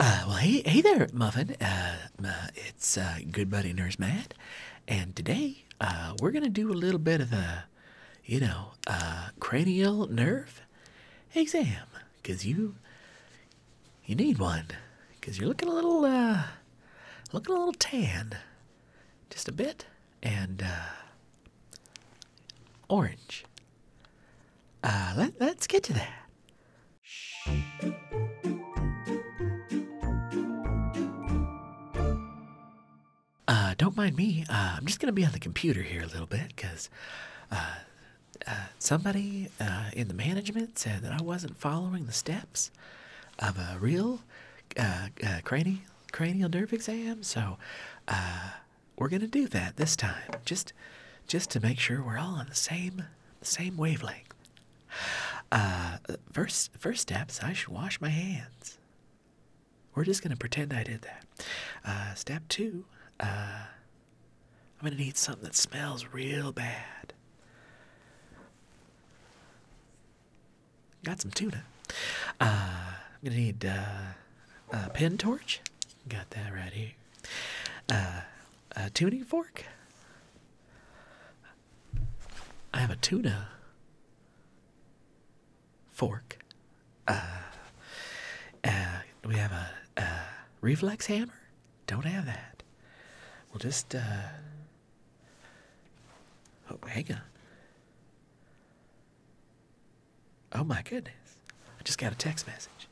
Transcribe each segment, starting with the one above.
Uh, well, hey, hey there, Muffin. Uh, uh, it's uh, Good Buddy Nurse Matt, and today uh, we're gonna do a little bit of a, you know, uh, cranial nerve exam, 'cause you, you need one, you you're looking a little, uh, looking a little tan, just a bit, and uh, orange. Uh, let's get to that. Uh, don't mind me. Uh, I'm just gonna be on the computer here a little bit, cause uh, uh, somebody in the management said that I wasn't following the steps of a real cranial nerve exam. So we're gonna do that this time, just just to make sure we're all on the same same wavelength. Uh, first, first steps, I should wash my hands. We're just going to pretend I did that. Uh, step two, uh, I'm going to need something that smells real bad. Got some tuna. I'm going to need a pen torch. Got that right here. A tuning fork? I have a tuna fork. Uh, uh, we have a, a reflex hammer? Don't have that. We'll just, uh, oh, hang on. Oh my goodness. I just got a text message.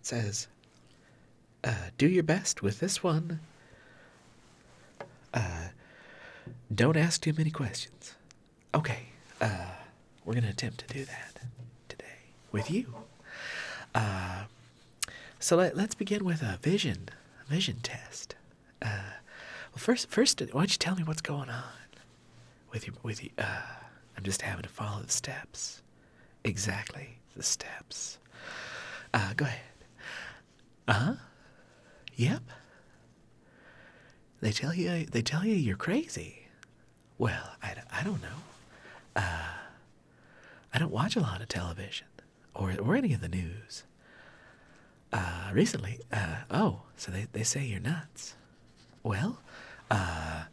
It says, uh, do your best with this one. Uh, don't ask too many questions. Okay, uh, we're going to attempt to do that today with you. so let, us begin with a vision, vision test. well, first, first, why don't you tell me what's going on with you? With you, I'm just having to follow the steps. Exactly the steps. Uh, go ahead. Uh huh. Yep. They tell you. They tell you you're crazy. Well, I, I don't know. Uh, I don't watch a lot of television or or any of the news. Uh, recently. Uh, oh, so they they say you're nuts. Well, uh,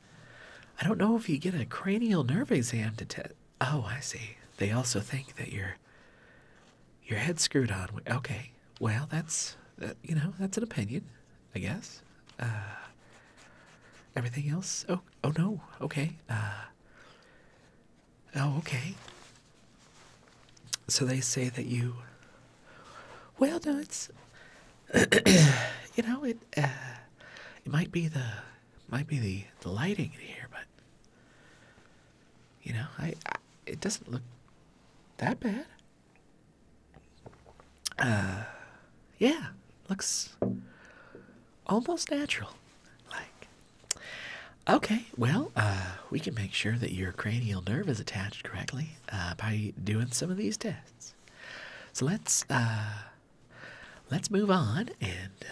I don't know if you get a cranial nerve exam to test. Oh, I see. They also think that you're your head's screwed on. Okay, well, that's you know that's an opinion, I guess. Uh, everything else? Oh, oh no. Okay. Uh, oh, okay. So they say that you. Well, no, it's. you know it. It might be the might be the, the lighting here, but you know, I, it doesn't look that bad. Uh, yeah, looks almost natural. Like, okay, well, uh, we can make sure that your cranial nerve is attached correctly uh, by doing some of these tests. So let's uh, let's move on and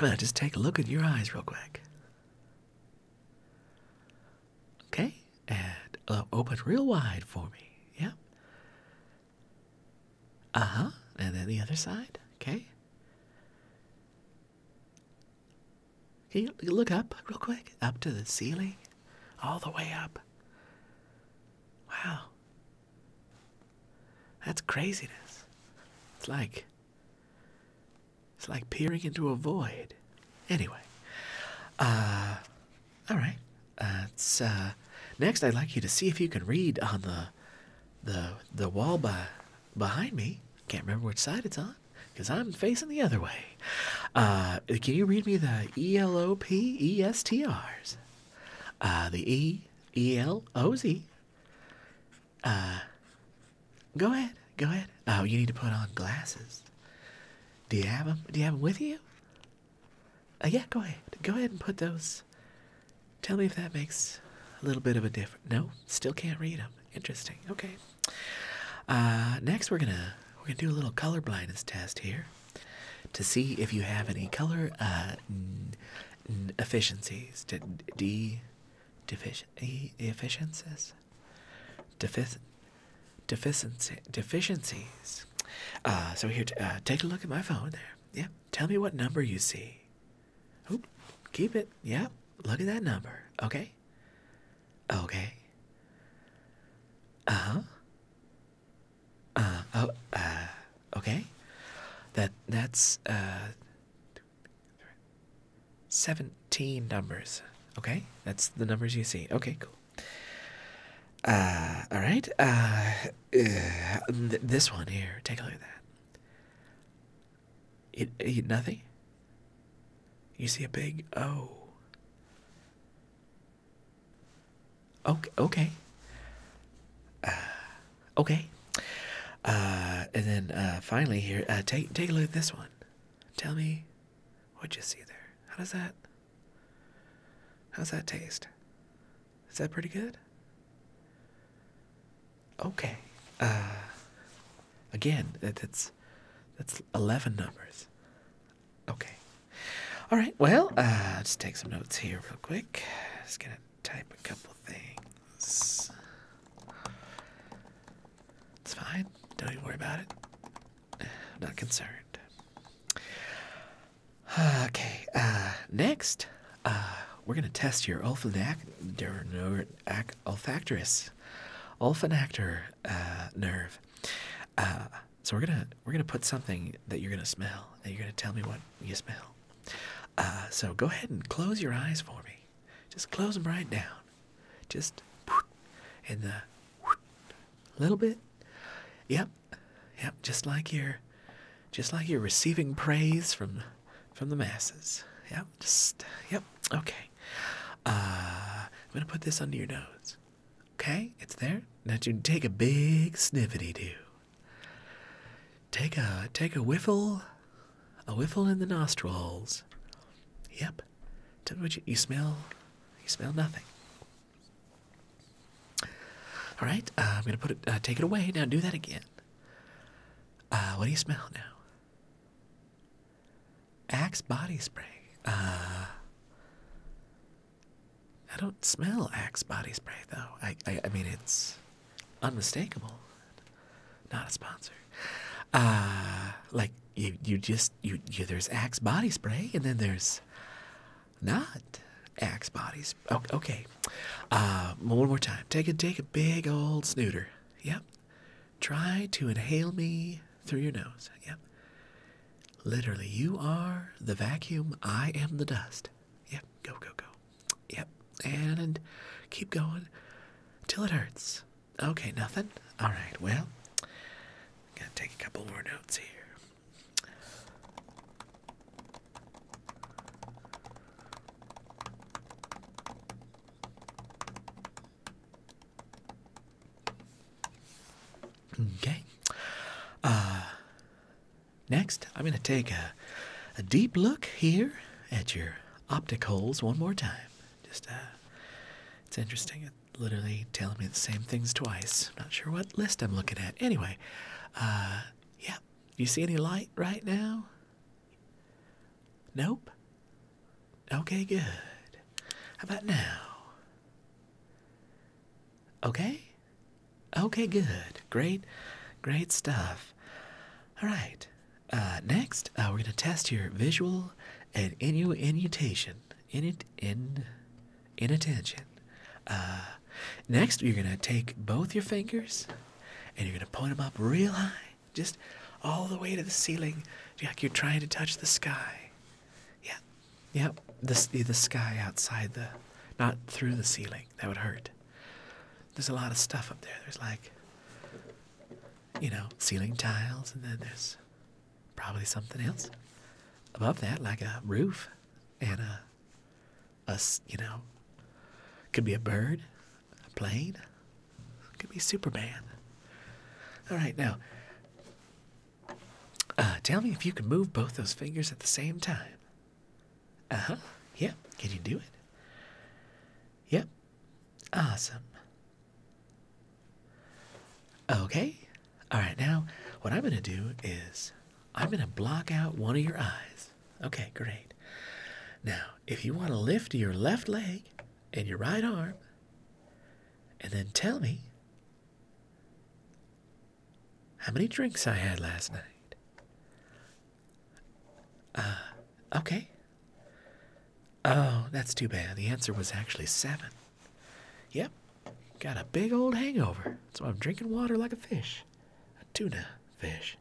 uh, i just take a look at your eyes real quick. Okay, and uh, open real wide for me. Yep. Uh huh. And then the other side. Okay. Okay. look up real quick? Up to the ceiling? All the way up. Wow. That's craziness. It's like it's like peering into a void. Anyway, uh, all right. That's uh, next, I'd like you to see if you can read on the the the wall by behind me. Can't remember which side it's on because I'm facing the other way. Uh, can you read me the E L O P E S T R's? Uh, the E, E L O Z. Uh, go ahead, go ahead. Oh, you need to put on glasses. Do you have them? Do you have them with you? Uh, yeah, go ahead. Go ahead and put those. Tell me if that makes a little bit of a difference. No, still can't read them. Interesting. Okay. Uh, next, we're gonna we're gonna do a little color blindness test here to see if you have any color uh, efficiencies, d, d deficiency, deficiencies. Uh, so here, uh, take a look at my phone there. Yep. tell me what number you see. Oh, keep it. Yep. look at that number. Okay. Okay. Uh huh. Uh, oh, uh, okay. That that's uh, seventeen numbers. Okay, that's the numbers you see. Okay, cool. Uh, all right. Uh, uh this one here. Take a look at that. It, it nothing. You see a big O. Okay. Okay. Uh, okay. Uh, and then uh, finally here, take take a look at this one. Tell me, what you see there? How does that? How does that taste? Is that pretty good? Okay. again, that's that's eleven numbers. Okay. All right. Well, uh, let's take some notes here real quick. Just gonna type a couple things. It's fine. Don't even worry about it. I'm not concerned. Okay. Uh, next, uh, we're gonna test your olfactoris, olfactor uh, nerve. Uh, so we're gonna we're gonna put something that you're gonna smell, and you're gonna tell me what you smell. Uh, so go ahead and close your eyes for me. Just close them right down. Just in the little bit. Yep, yep. Just like you're, just like you're receiving praise from from the masses. Yep. Just yep. Okay. Uh, I'm gonna put this under your nose. Okay, it's there. Now you take a big sniffity do. Take a take a whiffle, a whiffle in the nostrils. Yep, you, you smell, you smell nothing. All right, uh, I'm gonna put it. Uh, take it away now. Do that again. Uh, what do you smell now? Axe body spray. Uh, I don't smell Axe body spray though. I, I mean it's unmistakable. Not a sponsor. Uh like you you just you, you there's Axe body spray and then there's not Axe bodies. Okay. okay. Uh, one more time. Take a take a big old snooter. Yep. Try to inhale me through your nose. Yep. Literally, you are the vacuum, I am the dust. Yep, go, go, go. Yep, and keep going till it hurts. Okay, nothing? Alright, well, I'm gonna take a couple more notes here. Okay. Uh Next, I'm going to take a, a deep look here at your optic holes one more time. Just, uh, it's interesting. It's literally telling me the same things twice. I'm Not sure what list I'm looking at. Anyway, uh, yeah. You see any light right now? Nope. Okay, good. How about now? Okay? Okay, good. Great, great stuff. All right. Uh, next, uh, we're going to test your visual and innu innutation, in in inattention. Uh, next, you're going to take both your fingers and you're going to point them up real high, just all the way to the ceiling, like you're trying to touch the sky. Yeah, yeah, the the sky outside the not through the ceiling. That would hurt. There's a lot of stuff up there. There's like, you know, ceiling tiles, and then there's probably something else above that, like a roof and a, a you know, could be a bird, a plane, could be Superman. All right, now, uh, tell me if you can move both those fingers at the same time. Uh-huh. Yep. Yeah. Can you do it? Yep. Awesome. Okay. All right. Now, what I'm going to do is I'm going to block out one of your eyes. Okay, great. Now, if you want to lift your left leg and your right arm and then tell me how many drinks I had last night. Uh, okay. Oh, that's too bad. The answer was actually seven. Yep, got a big old hangover. So I'm drinking water like a fish, a tuna fish.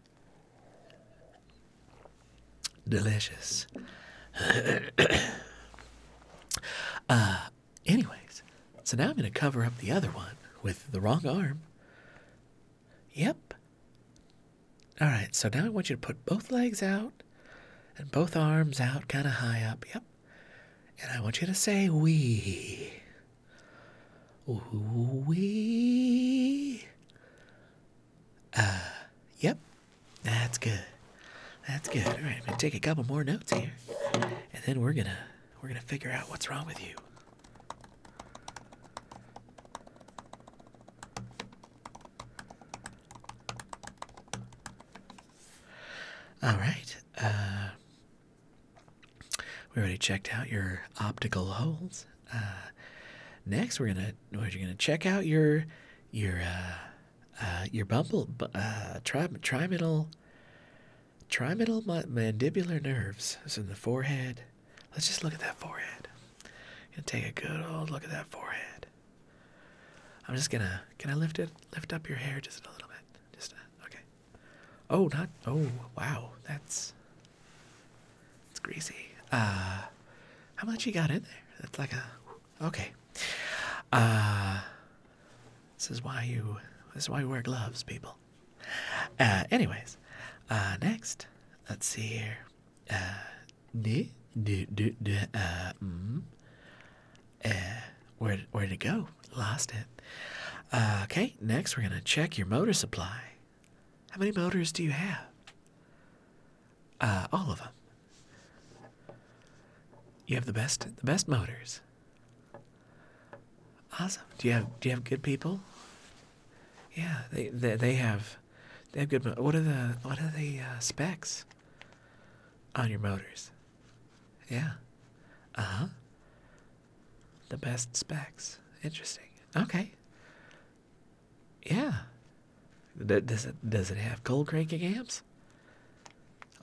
Delicious. uh, anyways, so now I'm going to cover up the other one with the wrong arm. Yep. All right, so now I want you to put both legs out and both arms out kind of high up. Yep. And I want you to say "wee," "wee." Uh, yep. That's good. That's good. All right, I'm going to take a couple more notes here. And then we're going to we're going to figure out what's wrong with you. All right. Uh, we already checked out your optical holes. Uh, next, we're gonna we're gonna check out your your uh, your bumble uh, tri trimetal Trimetal mandibular nerves is in the forehead. Let's just look at that forehead. and take a good old look at that forehead. I'm just gonna. Can I lift it? Lift up your hair just a little bit. Just a, okay. Oh, not. Oh, wow. That's. It's greasy. Uh, how much you got in there? That's like a. Okay. Uh, this is why you. This is why you wear gloves, people. Uh, anyways, uh, next, let's see here. d d d d uh, mm, uh, where where did it go? Lost it. okay, next we're gonna check your motor supply. How many motors do you have? Uh, all of them. You have the best the best motors. Awesome. Do you have do you have good people? Yeah, they they, they have they have good. What are the what are the uh, specs on your motors? Yeah. Uh huh. The best specs. Interesting. Okay. Yeah. does it does it have cold cranking amps?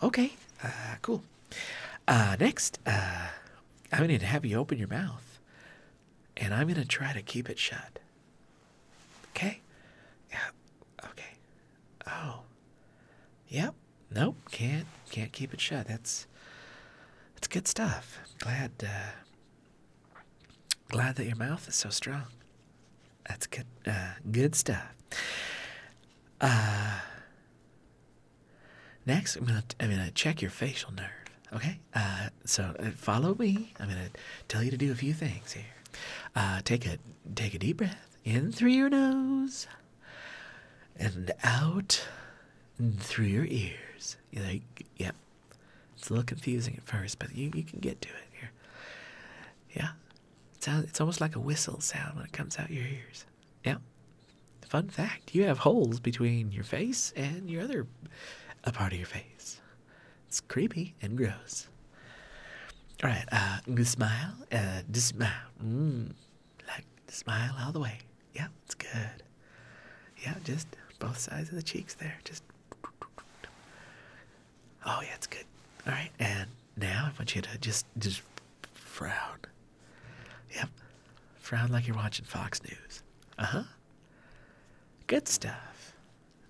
Okay. Uh, cool. Uh, next, uh, I'm going to have you open your mouth and I'm going to try to keep it shut. Okay? Yeah. Okay. Oh. Yep. Nope. Can't can't keep it shut. That's that's good stuff. Glad uh, glad that your mouth is so strong. That's good uh, good stuff. Uh Next, I'm gonna I'm gonna check your facial nerve. Okay, uh, so uh, follow me. I'm gonna tell you to do a few things here. Uh, take a take a deep breath in through your nose and out through your ears. You yep. It's a little confusing at first, but you you can get to it here. Yeah, it it's almost like a whistle sound when it comes out your ears. Yeah. Fun fact you have holes between your face and your other a part of your face. It's creepy and gross. All right. Uh, smile. Uh, smile. Mm, like, smile all the way. Yeah, it's good. Yeah, just both sides of the cheeks there. Just. Oh, yeah, it's good. All right. And now I want you to just, just frown. Yep. Frown like you're watching Fox News. Uh huh. Good stuff.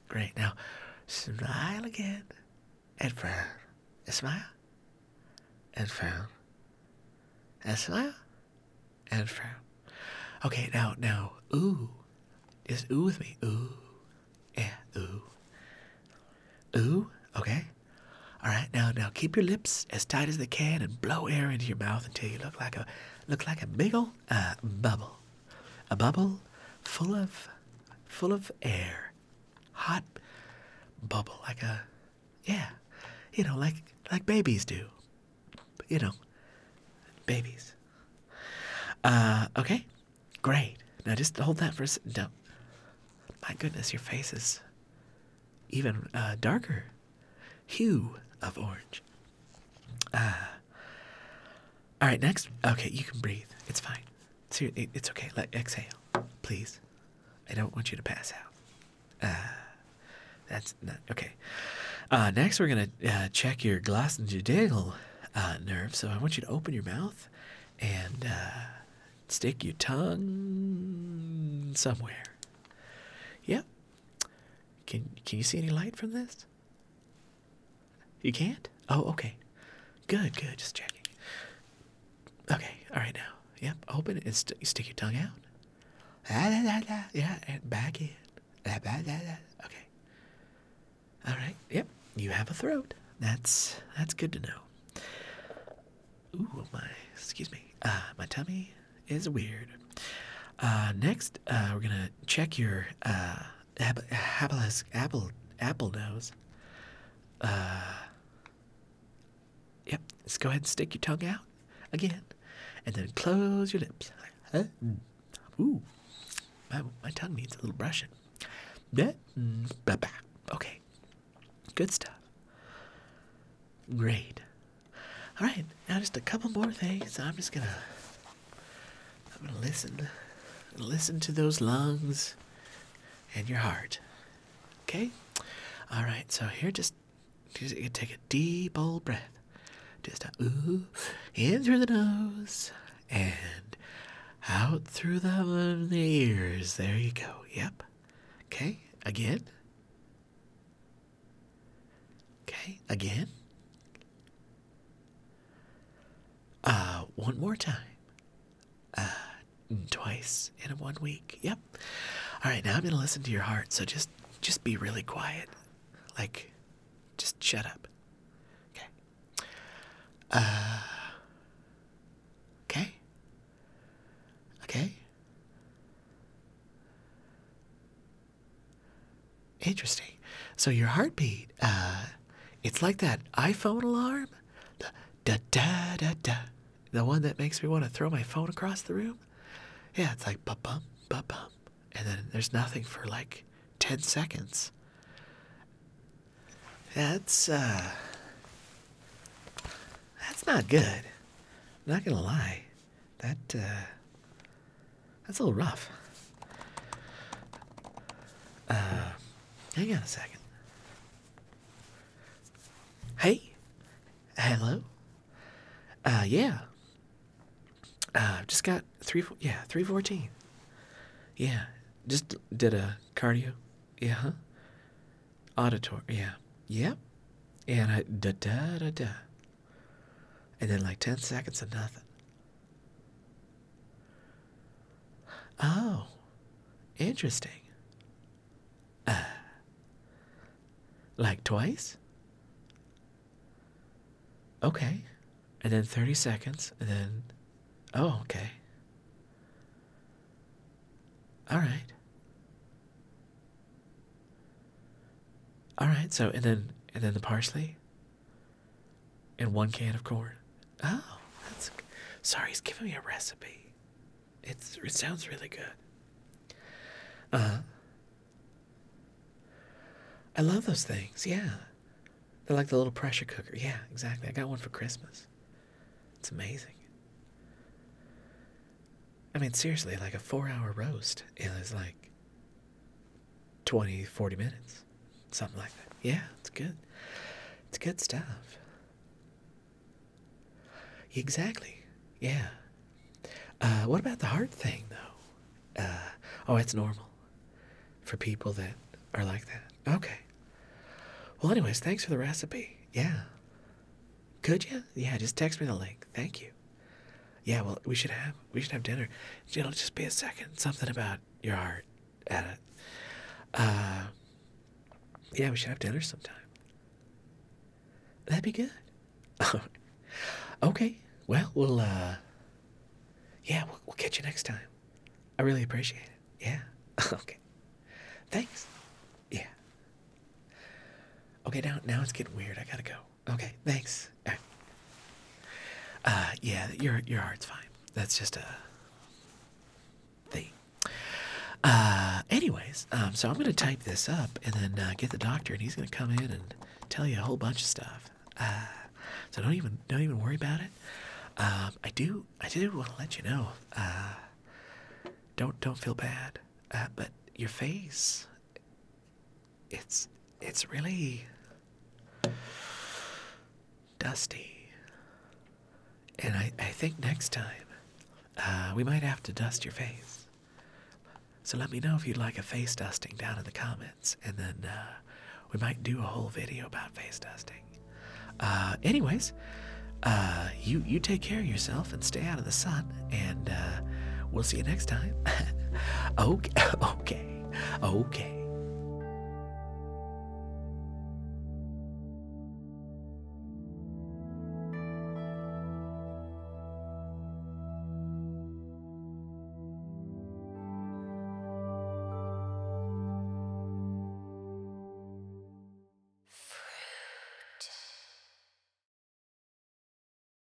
Great. Now, smile again and frown. And smile and frown. And smile and frown. Okay, now, now, ooh. Is ooh with me? Ooh. Yeah, ooh. Ooh, okay. All right, now, now keep your lips as tight as they can and blow air into your mouth until you look look like a look like a big old uh, bubble, a bubble full of full of air, hot bubble like a yeah, you know like like babies do, you know, babies. Uh, okay, great. Now just hold that for a second. No. My goodness, your face is even uh, darker hue of orange. Ah. all right, next. Okay, you can breathe. It's fine. It's, okay. Let exhale, please. I don't want you to pass out. Ah, that's not okay. Uh, next, we're gonna uh, check your glossojudial uh, nerve. So I want you to open your mouth and stick your tongue somewhere. Yep. Can can you see any light from this? You can't? Oh, okay. Good, good. Just checking. Okay, all right now. Yep, open it and stick your tongue out. Ah, yeah, and back in. La, la, la, Okay. All right. Yep, you have a throat. That's that's good to know. Ooh, my excuse me. Ah, my tummy is weird. Uh, next, uh, we're gonna check your uh, apple apple nose. yep. Let's go ahead and stick your tongue out again, and then close your lips. Mm. Ooh, my my tongue needs a little brushing. Mm, okay, good stuff. Great. All right, now just a couple more things. I'm just gonna, I'm gonna listen, listen to those lungs, and your heart. Okay. All right. So here, just, just you take a deep old breath. Just ooh, in through the nose and out through the, the ears. There you go. Yep. Okay. Again. Okay, again. Uh, one more time. Uh, twice in one week. Yep. All right, now I'm going to listen to your heart. So just just be really quiet. Like just shut up. Okay. Uh Okay. Okay. Interesting. So your heartbeat, uh, it's like that iPhone alarm, the da da da da, the one that makes me want to throw my phone across the room. Yeah, it's like ba bum ba bum, and then there's nothing for like ten seconds. That's uh, that's not good. not gonna lie. That, uh, that's a little rough. Uh, hang on a second. Hey, hello. Uh, yeah. Uh, just got three, four, yeah, three fourteen. Yeah, just did a cardio. Yeah. Huh? Auditory. Yeah. Yep. Yeah. And I da da da da and then like 10 seconds of nothing. Oh, interesting. Uh, like twice? Okay. And then 30 seconds, and then. Oh, okay. All right. All right, so and then and then the parsley and one can of corn. Oh, that's sorry. He's giving me a recipe. It's it sounds really good. Uh huh. I love those things. Yeah, they're like the little pressure cooker. Yeah, exactly. I got one for Christmas. It's amazing. I mean, seriously, like a four hour roast is like 20, 40 minutes, something like that. Yeah, it's good. It's good stuff. Exactly. Yeah. Uh, what about the hard thing, though? Uh, oh, it's normal for people that are like that. Okay. Well, anyways, thanks for the recipe. Yeah. Could you? Yeah, just text me the link. Thank you. Yeah, well, we should have we should have dinner. you will just be a second. Something about your heart, Ada. Uh, yeah, we should have dinner sometime. That'd be good. okay. Well, we'll. uh Yeah, we'll catch you next time. I really appreciate it. Yeah. okay. Thanks. Yeah. Okay, now now it's getting weird. I gotta go okay. Thanks. Uh, yeah, your your heart's fine. That's just a thing. Uh, anyways, um, so I'm gonna type this up and then uh, get the doctor, and he's gonna come in and tell you a whole bunch of stuff. so don't even don't even worry about it. Um, I do I do want to let you know. don't don't feel bad. but your face it's it's really dusty. And I, I think next time uh, we might have to dust your face. So let me know if you'd like a face dusting down in the comments, and then uh, we might do a whole video about face dusting. Uh, anyways, you you take care of yourself and stay out of the sun and uh, we'll see you next time. okay, okay, okay.